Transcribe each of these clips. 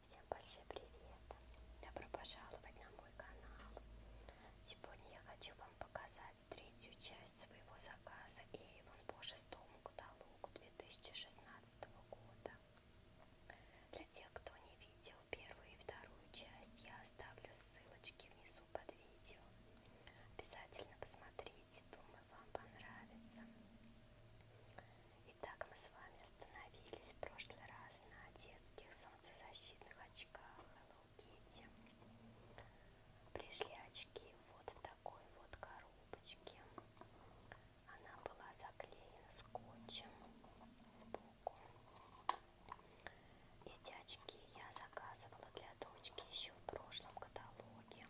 Всем большой привет! Добро пожаловать на мой канал! Сегодня я хочу вам показать третью часть своего заказа Avon по шестому каталогу 2016 года. Для тех, кто не видел первую и вторую часть, я оставлю ссылочки внизу внизу под видео. Обязательно посмотрите, думаю, вам понравится. Итак, мы с вами остановились в прошлый раз на детских солнцезащитных очках Hello Kitty. Пришли очки вот в такой вот коробочке. Она была заклеена скотчем сбоку. Эти очки я заказывала для дочки еще в прошлом каталоге,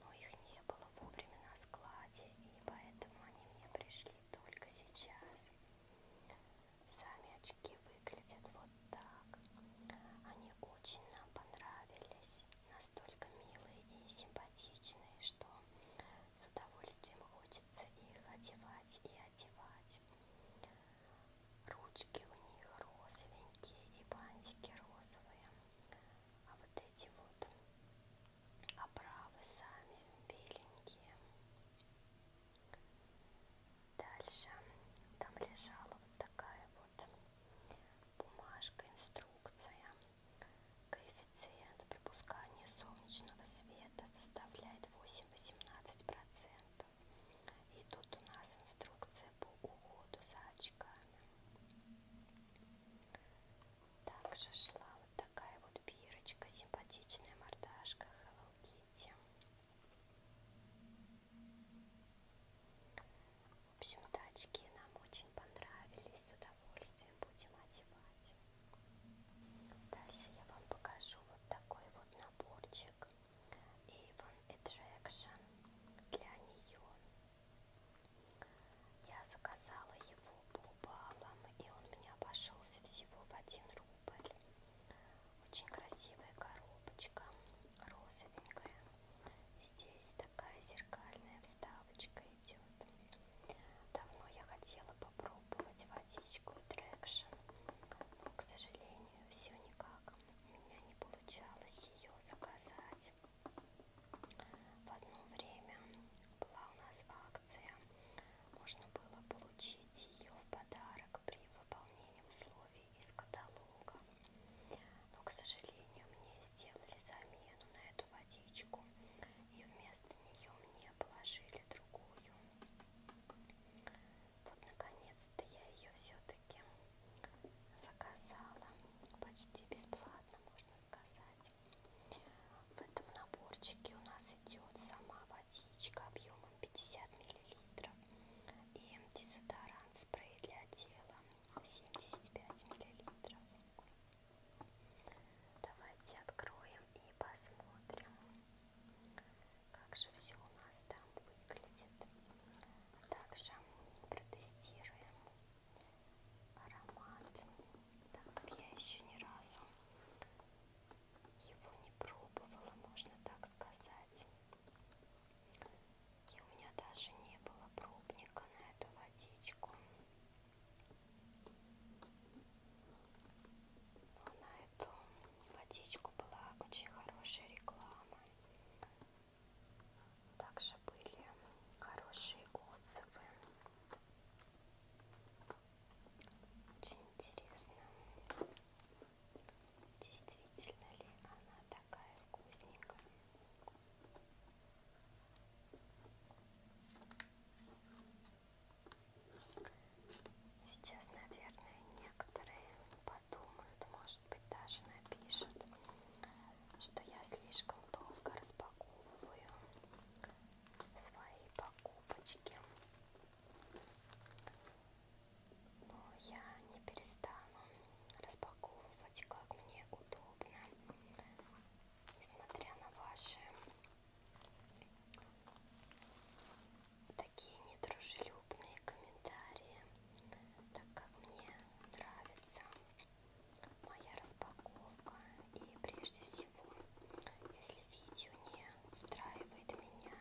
но их не было вовремя на складе, и поэтому они мне пришли только сейчас. Сами очки выглядят вот так. Они очень нам понравились, настолько милые и симпатичные, что с удовольствием хочется их одевать и одевать. Ручки у них розовенькие и бантики розовые. А вот эти вот оправы сами беленькие. Дальше там лежала вот такая вот бумажка, инструкция. Коэффициент пропускания солнечного света составляет 8-18%. И тут у нас инструкция по уходу за очками. Также шла вот такая вот бирочка, симпатичная мордашка Hello Kitty. В общем-то, очки нам очень понравились, с удовольствием будем одевать. Дальше я вам покажу вот такой вот наборчик. Magic и One Attraction для нее. Я заказала его по баллам, и он мне обошелся всего в 1 рубль. Очень красивая коробочка, розовенькая. Здесь такая зеркальная вставочка идет. Давно я хотела попробовать водичку и трекшн, но, к сожалению, все никак у меня не получалось ее заказать. В одно время была у нас акция, можно было получить ее в подарок при выполнении условий из каталога. Но, к сожалению, мне сделали замену на эту водичку, и вместо нее мне положили другую. Вот наконец-то я ее все-таки заказала. Почти бесплатно, можно сказать. В этом наборчике у нас идет сама водичка объемом 50 мл и дезодорант спрей для тела 75 мл. Давайте откроем и посмотрим, как же все у нас там выглядит. Также протестируем аромат, так как я еще ни разу его не пробовала, можно так сказать. И у меня даже не было пробника на эту водичку. Но на эту водичку была очень хорошая реклама. Также были хорошие отзывы. Очень интересно, действительно ли она такая вкусненькая. Сейчас, наверное, некоторые подумают, может быть даже напишут, что я слишком долго распаковываю свои покупочки. Но я не перестану распаковывать, как мне удобно, несмотря на ваши такие недружелюбные комментарии, так как мне нравится моя распаковка и прежде всего, если видео не устраивает меня,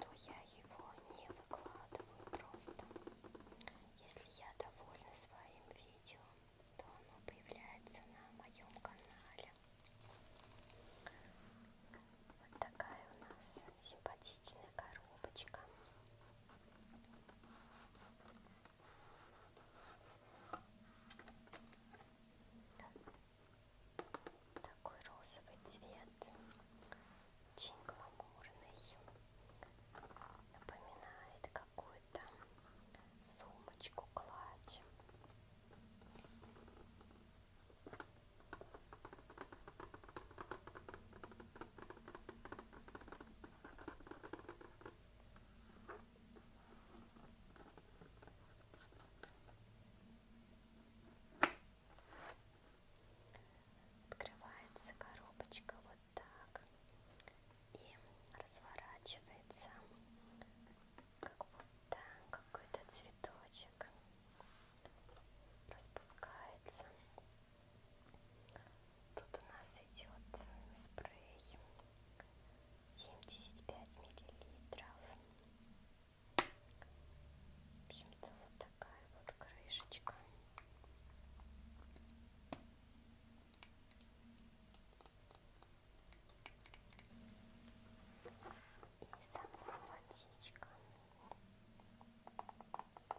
то я его не выкладываю просто. Если я довольна своим видео, то оно появляется на моем канале. Вот такая у нас симпатичная коробочка. Такой розовый цвет, очень гламурный, напоминает какую-то сумочку-клатч. Открывается коробочка вот так и разворачивается как будто какой-то цветочек распускается. Тут у нас идет спрей 75 миллилитров. В общем-то, вот такая вот крышечка. И сама водичка.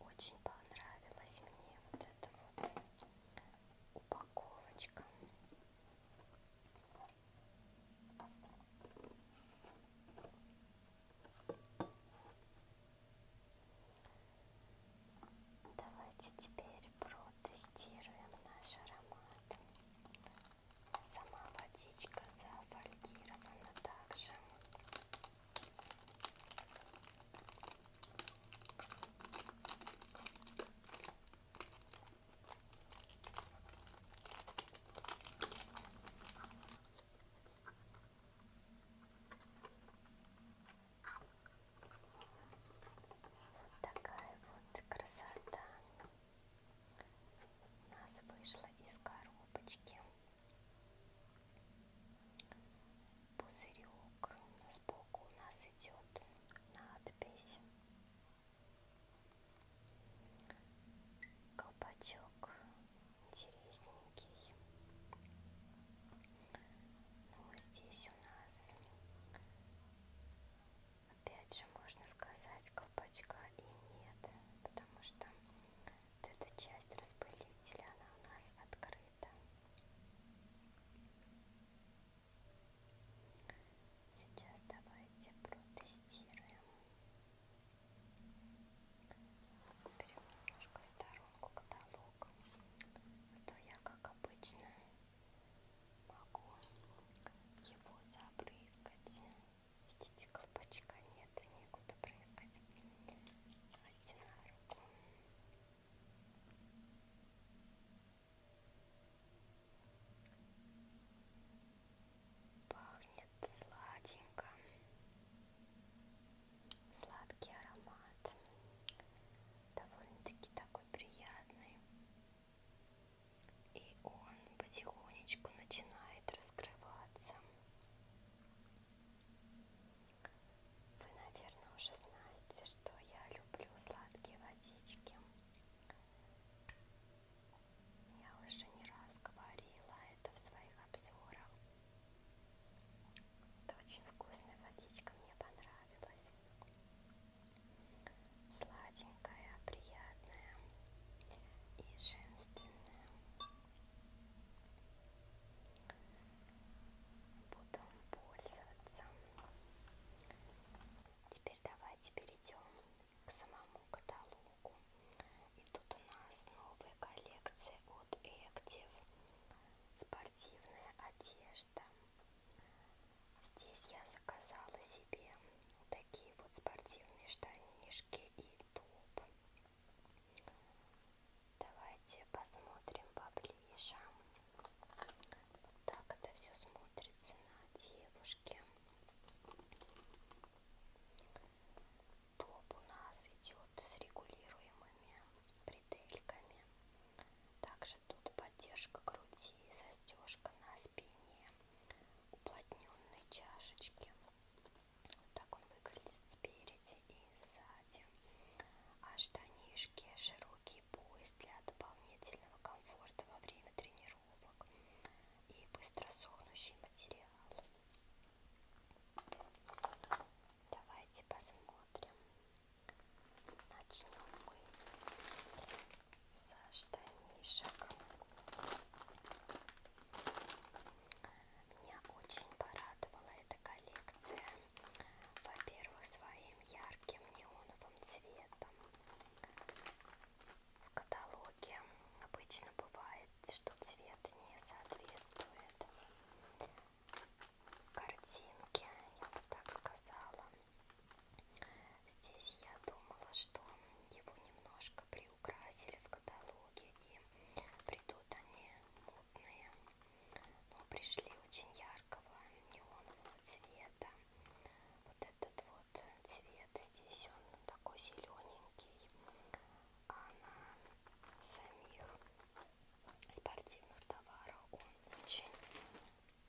очень понравилась мне вот эта вот упаковочка. Давайте теперь протестируем наш аромат. Сама водичка зафольгирована также. Вот такая вот красота у нас вышла из коробочки пузырек сбоку у нас идет надпись колпачок интересненький но ну, а здесь у нас опять же можно сказать колпачка и нет потому что вот эта часть распылителя, она у нас открыта. Сейчас давайте протестируем. Берем немножко в сторонку каталог. А то я, как обычно, могу его забрызгать. Видите, колпачка нет это некуда проискать. Один на руку. Пахнет сладенько. Сладкий аромат. Довольно-таки такой приятный. И он потихонечку начинает раскрываться. Вы, наверное, уже знаете, что я люблю сладкие водички. Я уже не раз говорила это в своих обзорах. Это очень вкусная водичка, мне понравилась. Сладенькая, приятная и женственная. Буду пользоваться. Теперь давайте перейдем к самому каталогу. И тут у нас новая коллекция от Active. Спортивная одежда. Здесь я заказала себе такие вот спортивные штанишки и топ. Давайте посмотрим поближе. Вот так это все смотрится на девушке. Топ у нас идет с регулируемыми бретельками. Также тут поддержка груди, застежка на спине, уплотненные чашечки. Вот так он выглядит спереди и сзади. А штанишки широкий пояс для дополнительного комфорта во время тренировок и быстро сохнущий материал. Давайте посмотрим. Начнем мы со штанишек. Меня очень порадовала эта коллекция. Во-первых, своим ярким неоновым цветом. В каталоге обычно бывает, что цвет не соответствует картинке, я бы так сказала. Здесь я думала, что его немножко приукрасили в каталоге и придут они мутные но ну, пришли очень яркого неонового цвета. Вот этот вот цвет здесь он такой зелененький, а на самих спортивных товарах он очень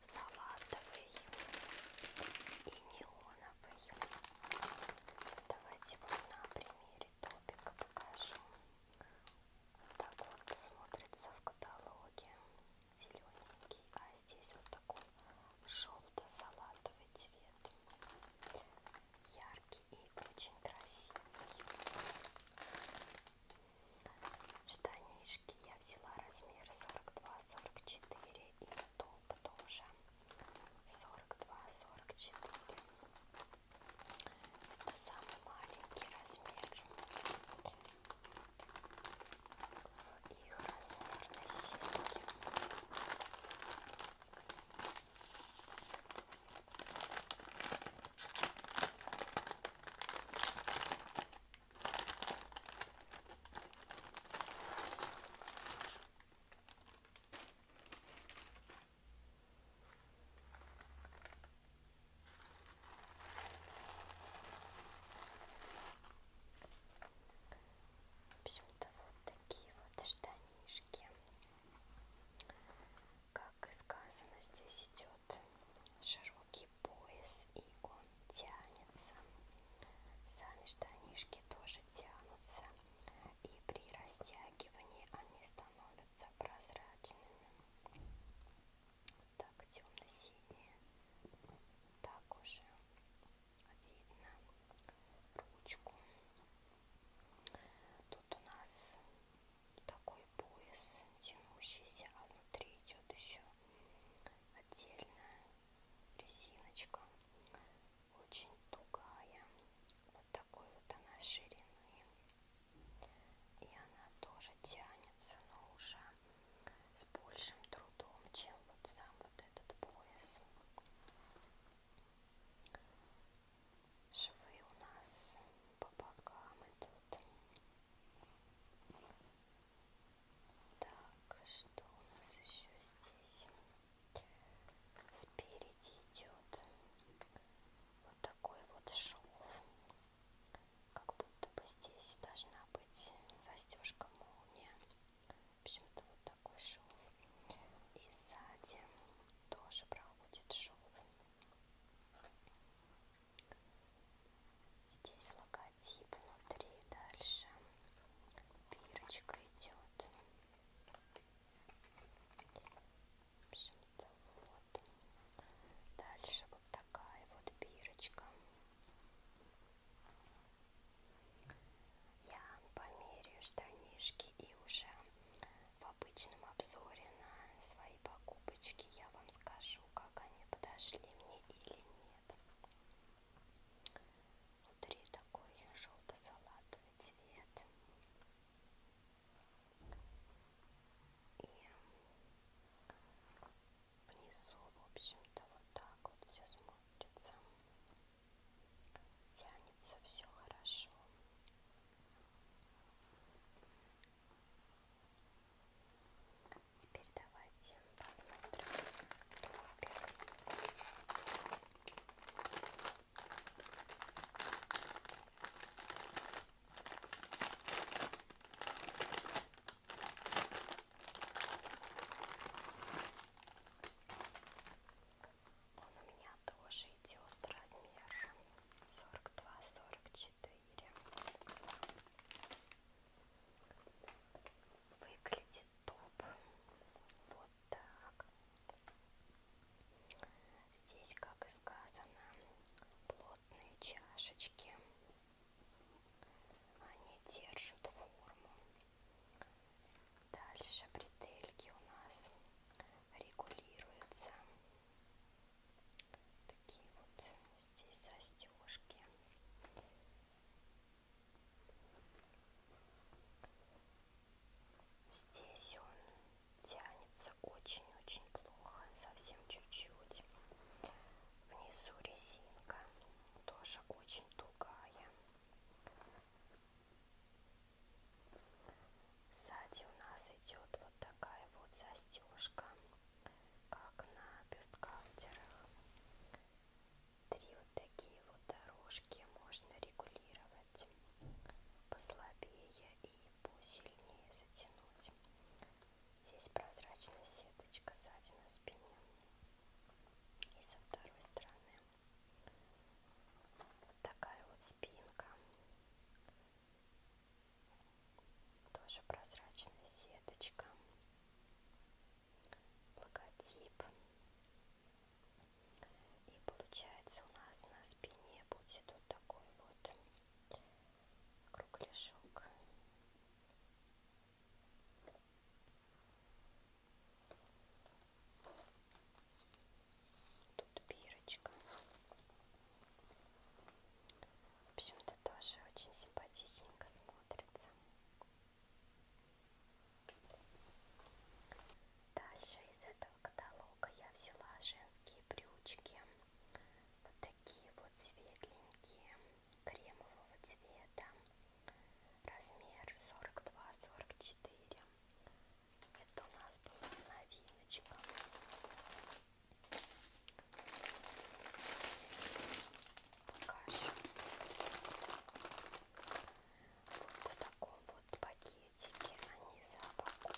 салатовый и неоновый. Давайте вам на примере топика покажу. Так вот смотрится в каталоге зелененький, а здесь вот такой желто-салатовый цвет. Яркий и очень красивый. Штанишки я взяла размер 42-44 и топ тоже 42-44. Это самый маленький размер в их размерной сетке. В общем-то, вот такие вот штанишки. Как и сказано, здесь идет широкий пояс, и он тянется. Сами штанишки тоже тянутся, и при растягивании они становятся становятся прозрачными. Так темно-синие. Так уже видно ручку. Тут у нас такой пояс тянущийся, а внутри идет еще отдельная резиночка. Очень тугая. Вот такой вот она ширины. И она тоже тянется, но уже с большим трудом, чем вот сам вот этот пояс. Швы у нас по бокам идут. Так, что у нас еще здесь? Спереди идет вот такой вот шов как будто бы здесь должна быть застежка молния. В общем-то, вот такой шов. И сзади тоже проходит шов. Здесь логотип внутри, дальше пирочка идет. В общем-то, вот. Дальше вот такая вот бирочка. Я померяю штанишки и уже в обычном обзоре на свои покупочки я вам скажу, как они подошли мне или нет. Внутри такой желто-салатовый цвет. И внизу, в общем-то, вот так вот все смотрится. Тянется все хорошо. Теперь давайте посмотрим топик. Он у меня тоже идет размер 42-44. Выглядит топ вот так. Здесь, как и сказано, плотные чашечки. Они держат форму. Дальше бретельки у нас регулируются. Такие вот здесь застежки. Здесь он тянется очень-очень плохо, совсем чуть-чуть. Внизу резинка тоже очень тугая. Сзади у нас идет вот такая вот застежка, как на бюстгальтерах. Три вот такие вот дорожки можно регулировать послабее и посильнее затянуть. Здесь прозрачная сеточка сзади на спине. И со второй стороны вот такая вот спинка. Тоже прозрачная сеточка. Логотип. И получается у нас на спине будет вот такой вот кругляшок тут бирочка в общем-то тоже очень симпатичненько смотрится Дальше из этого каталога я взяла женские брючки вот такие вот светленькие, кремового цвета, размер 42-44. Это у нас была новиночка. Покажем. Вот в таком вот пакетике они запакованы.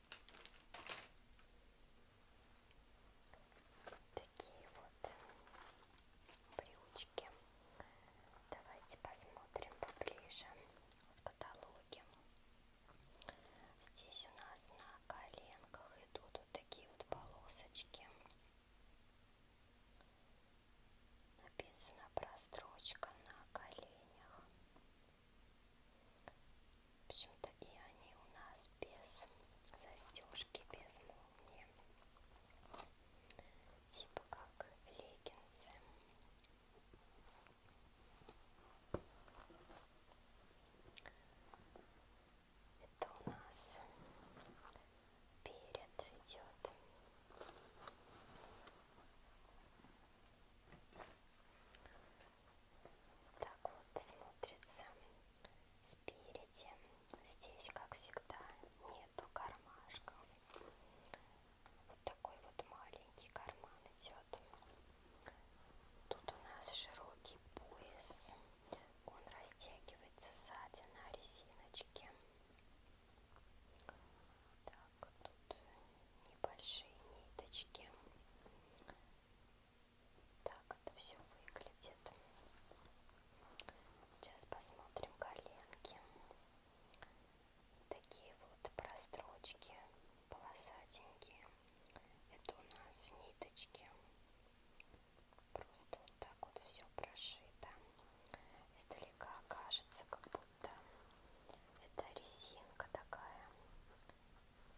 Такие вот брючки. Давайте посмотрим поближе в каталоге. Здесь у нас на коленках идут вот такие вот полосочки. Написано прострочка на коленях. В общем-то и они у нас без застежки, без молнии. Типа как леггинсы. Это у нас перед идет. Так вот смотрится спереди. Здесь, как всегда, нету кармашков. Вот такой вот маленький карман идет. Тут у нас широкий пояс. Он растягивается сзади на резиночке. Так, тут небольшие ниточки. Так это все выглядит. Сейчас посмотрим коленки. Такие вот прострочки полосатенькие. Это у нас ниточки. Просто вот так вот все прошито. Издалека кажется, как будто это резинка такая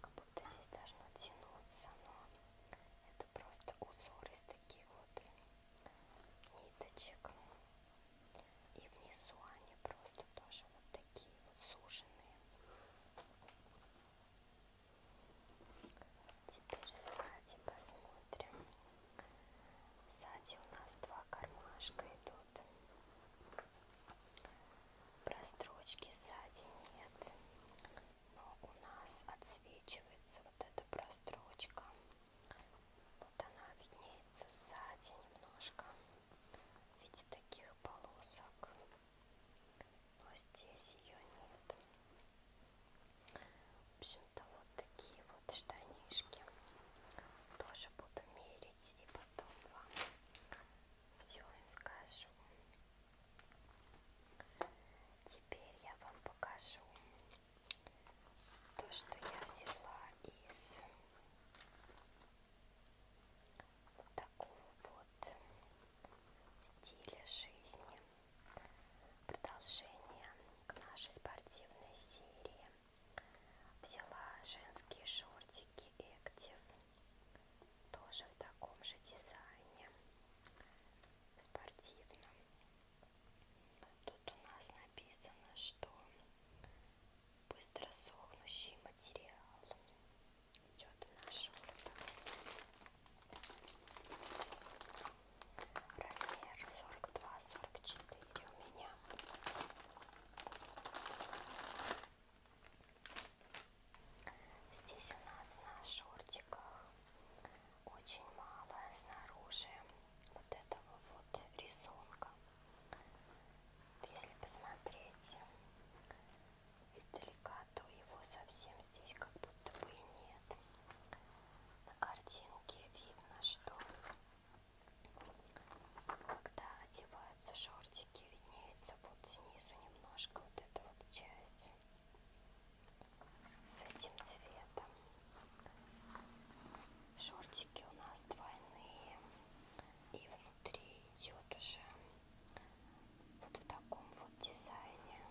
как будто здесь должно тянуться, но это просто узор из таких вот ниточек. И внизу они просто тоже вот такие вот суженные. Теперь сзади посмотрим. Сзади у нас два кармашка идут. Прострочки сзади нет. Но у нас отсвечивается вот эта прострочка. Вот она виднеется сзади немножко. В виде таких полосок. Но здесь ее нет. В общем-то, вот такие вот штанишки. Тоже буду мерить и потом вам все им скажу. Теперь я вам покажу то, что я взяла из вот такого вот стиля жизни. Продолжение к нашей спортивной серии. Взяла женские шортики Active тоже в таком же дизайне спортивном тут у нас написано что быстро сохнущий материал идет на шорты размер 42-44 у меня Здесь у нас на шортиках очень мало снаружи вот этого вот рисунка. Вот если посмотреть издалека, то его совсем здесь как будто бы и нет. На картинке видно, что когда одеваются шортики, кончики виднеется вот снизу немножко вот эта вот часть с этим цветом. Шортики у нас двойные. И внутри идет уже вот в таком вот дизайне.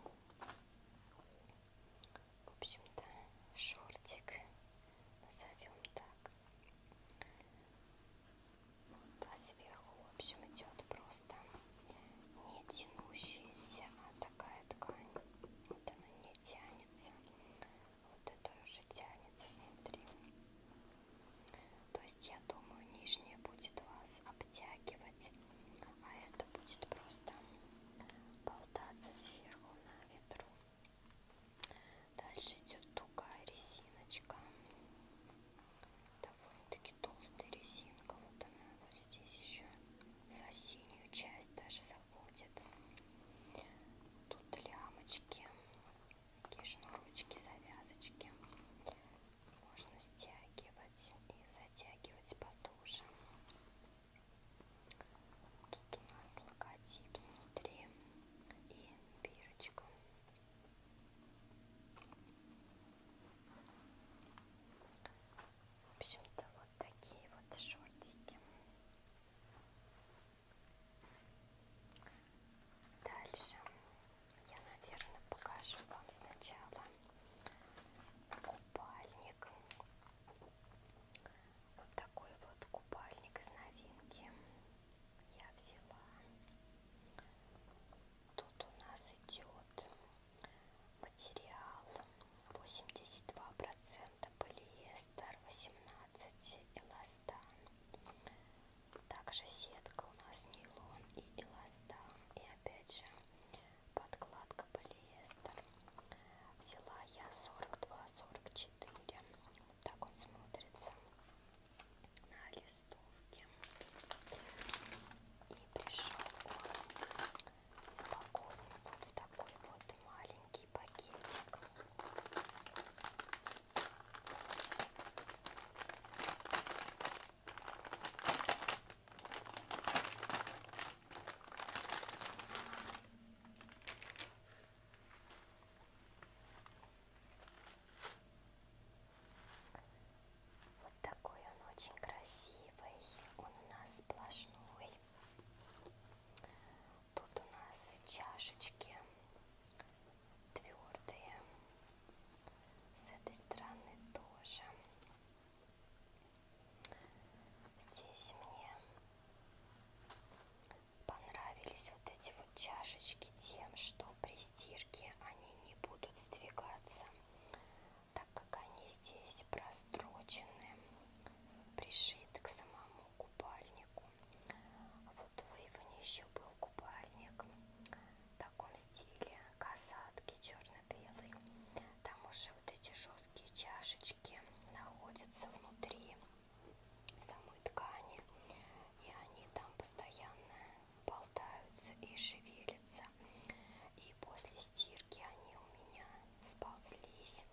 В общем-то, шортик назовем так а сверху, в общем, идет просто не тянущаяся, а такая ткань. Вот она не тянется. Вот это уже тянется снутри. То есть, я думаю, нижняя будет вас обтягивать, а это будет просто болтаться сверху на ветру. Дальше идет тугая резиночка довольно-таки толстая резинка. Вот она вот здесь еще за синюю часть даже заходит. Тут лямочки, такие шнурочки, завязочки. Можно стягивать и затягивать потуже. Тут у нас логотип внутри и бирочка. В общем-то, вот такие вот шортики. Дальше я, наверное, покажу вам сначала купальник. Вот такой вот купальник из новинки я взяла. Тут у нас идет материал 82% полиэстер, 18% эластан. Также сетка у нас нейлон и эластан. И опять же подкладка полиэстер. Взяла я 42-44. Вот так он смотрится на листовке. И пришел он запакован вот в такой вот маленький пакетик. Вот такой он очень красивый. Он у нас сплошной. Тут у нас чашечки твердые. С этой стороны тоже. Здесь мне понравились вот эти вот чашечки тем, что при стирке они не будут сдвигаться так как они здесь прострочены, пришиты к самому купальнику. А вот в Иване еще был купальник в таком стиле, касатки черно-белый. Там уже вот эти жесткие чашечки находятся внутри в самой ткани, и они там постоянно болтаются и шевелятся. И после стирки они у меня сползлись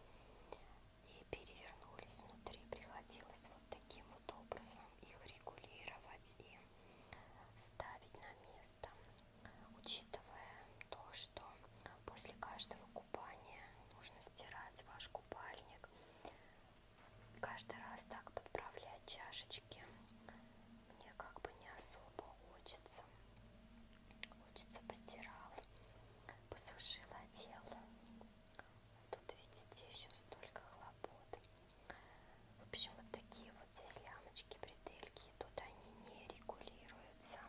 и перевернулись внутри. Приходилось вот таким вот образом их регулировать и ставить на место, учитывая то, что после каждого купания нужно стирать ваш купальник. Каждый раз так подправлять чашечки девочки мне как бы не особо хочется. Хочется постирал, посушил, одел. Тут, видите, еще столько хлопот. В общем, вот такие вот здесь лямочки, бретельки. Тут они не регулируются.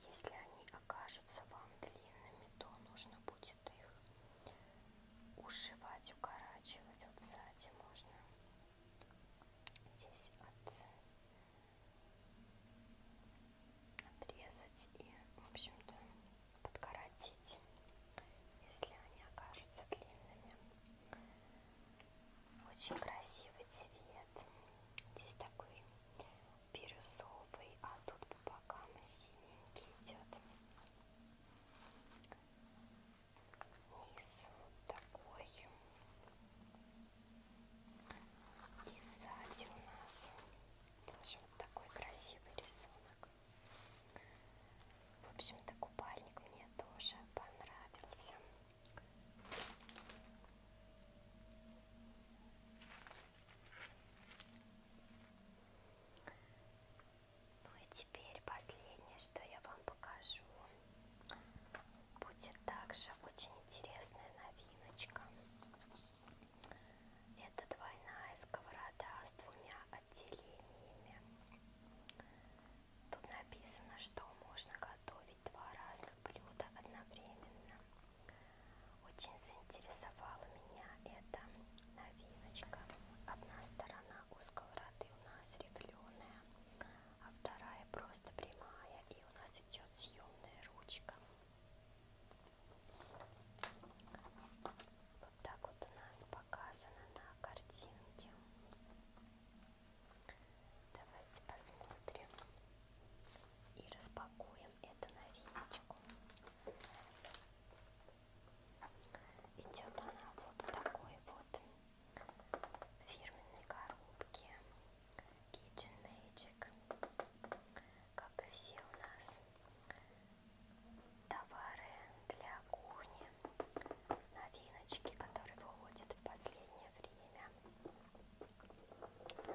Если они окажутся вам длинными, то нужно будет их ушивать, укорачивать. Вот сзади можно здесь от... отрезать и, в общем-то, подкоротить, если они окажутся длинными. Очень красивый цвет. Здесь такой бирюзовый, а тут по бокам синенький идет низ вот такой. И сзади у нас тоже вот такой красивый рисунок. В общем-то, купальник мне тоже понравился. Ну и теперь последнее, что я вам покажу. Будет также очень интересная новиночка. Это двойная сковорода с двумя отделениями. Тут написано, что можно готовить два разных блюда одновременно. Очень заинтересовала меня эта новиночка. Одна сторона у сковороды у нас рифленая, а вторая просто прямая, и у нас идет съемная ручка. Вот так вот у нас показано на картинке. Давайте посмотрим и распакуем эту новиночку. Идет она вот в такой вот фирменной коробке Kitchen Magic. Как и все у нас товары для кухни, новиночки, которые выходят в последнее время. Так.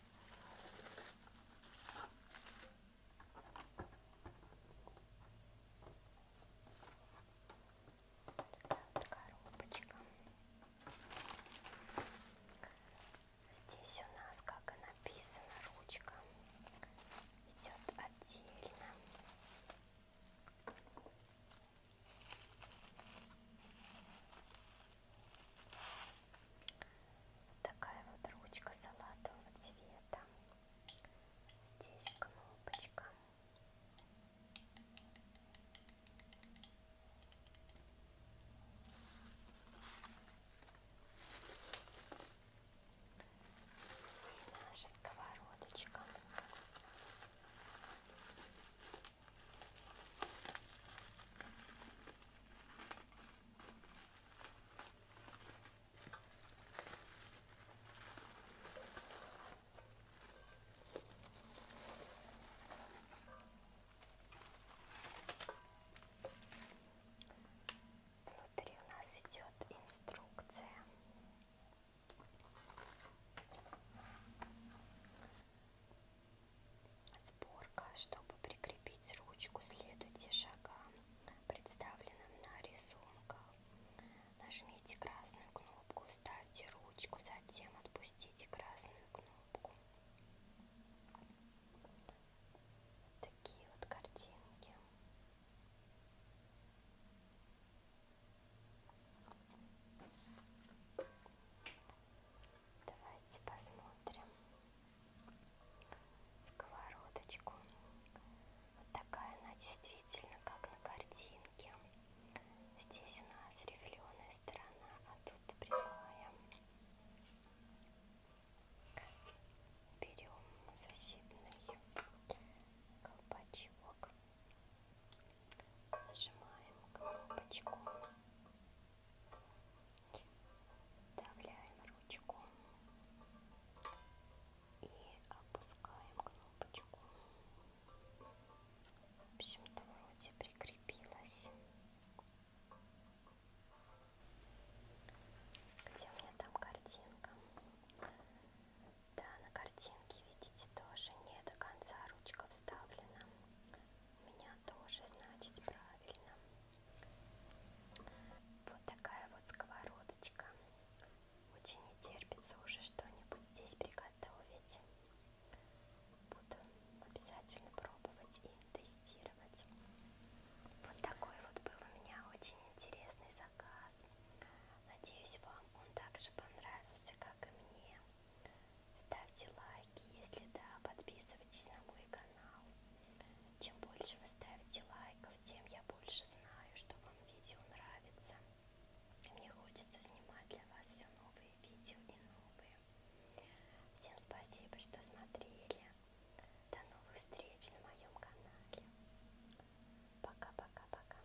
Такая вот коробочка. Здесь у нас, как и написано, ручка идет отдельно. Вот такая вот ручка салатового цвета. Здесь кнопочка. И наша сковородочка. Внутри у нас идет инструкция. Сборка. Чтобы прикрепить ручку, следуйте шагам, представленным на рисунках. Нажмите красную кнопку, вставьте ручку, затем отпустите красную кнопку. Вот такие вот картинки. Давайте посмотрим сковородочку. Вот такая она действительно, как на картинке. Здесь у нас рифленая сторона, а тут прямая. Берем защитный колпачок, нажимаем кнопочку вставляем ручку и опускаем кнопочку. В общем-то, вроде прикрепилась. Где у меня там картинка? Да, на картинке, видите, тоже не до конца ручка вставлена. У меня тоже, значит, правильно. Вот такая вот сковородочка. Очень не терпится уже что-нибудь здесь приготовить. Буду обязательно пробовать и тестировать. Вот такой вот был у меня очень интересный заказ. Надеюсь, вам он также понравился, как и мне. Ставьте лайки, если да, подписывайтесь на мой канал. Чем больше вы ставите лайков, тем я больше знаю, что вам видео нравится. И мне хочется снимать для вас все новые видео и новые. Всем спасибо, что смотрели. До новых встреч на моем канале. Пока-пока-пока.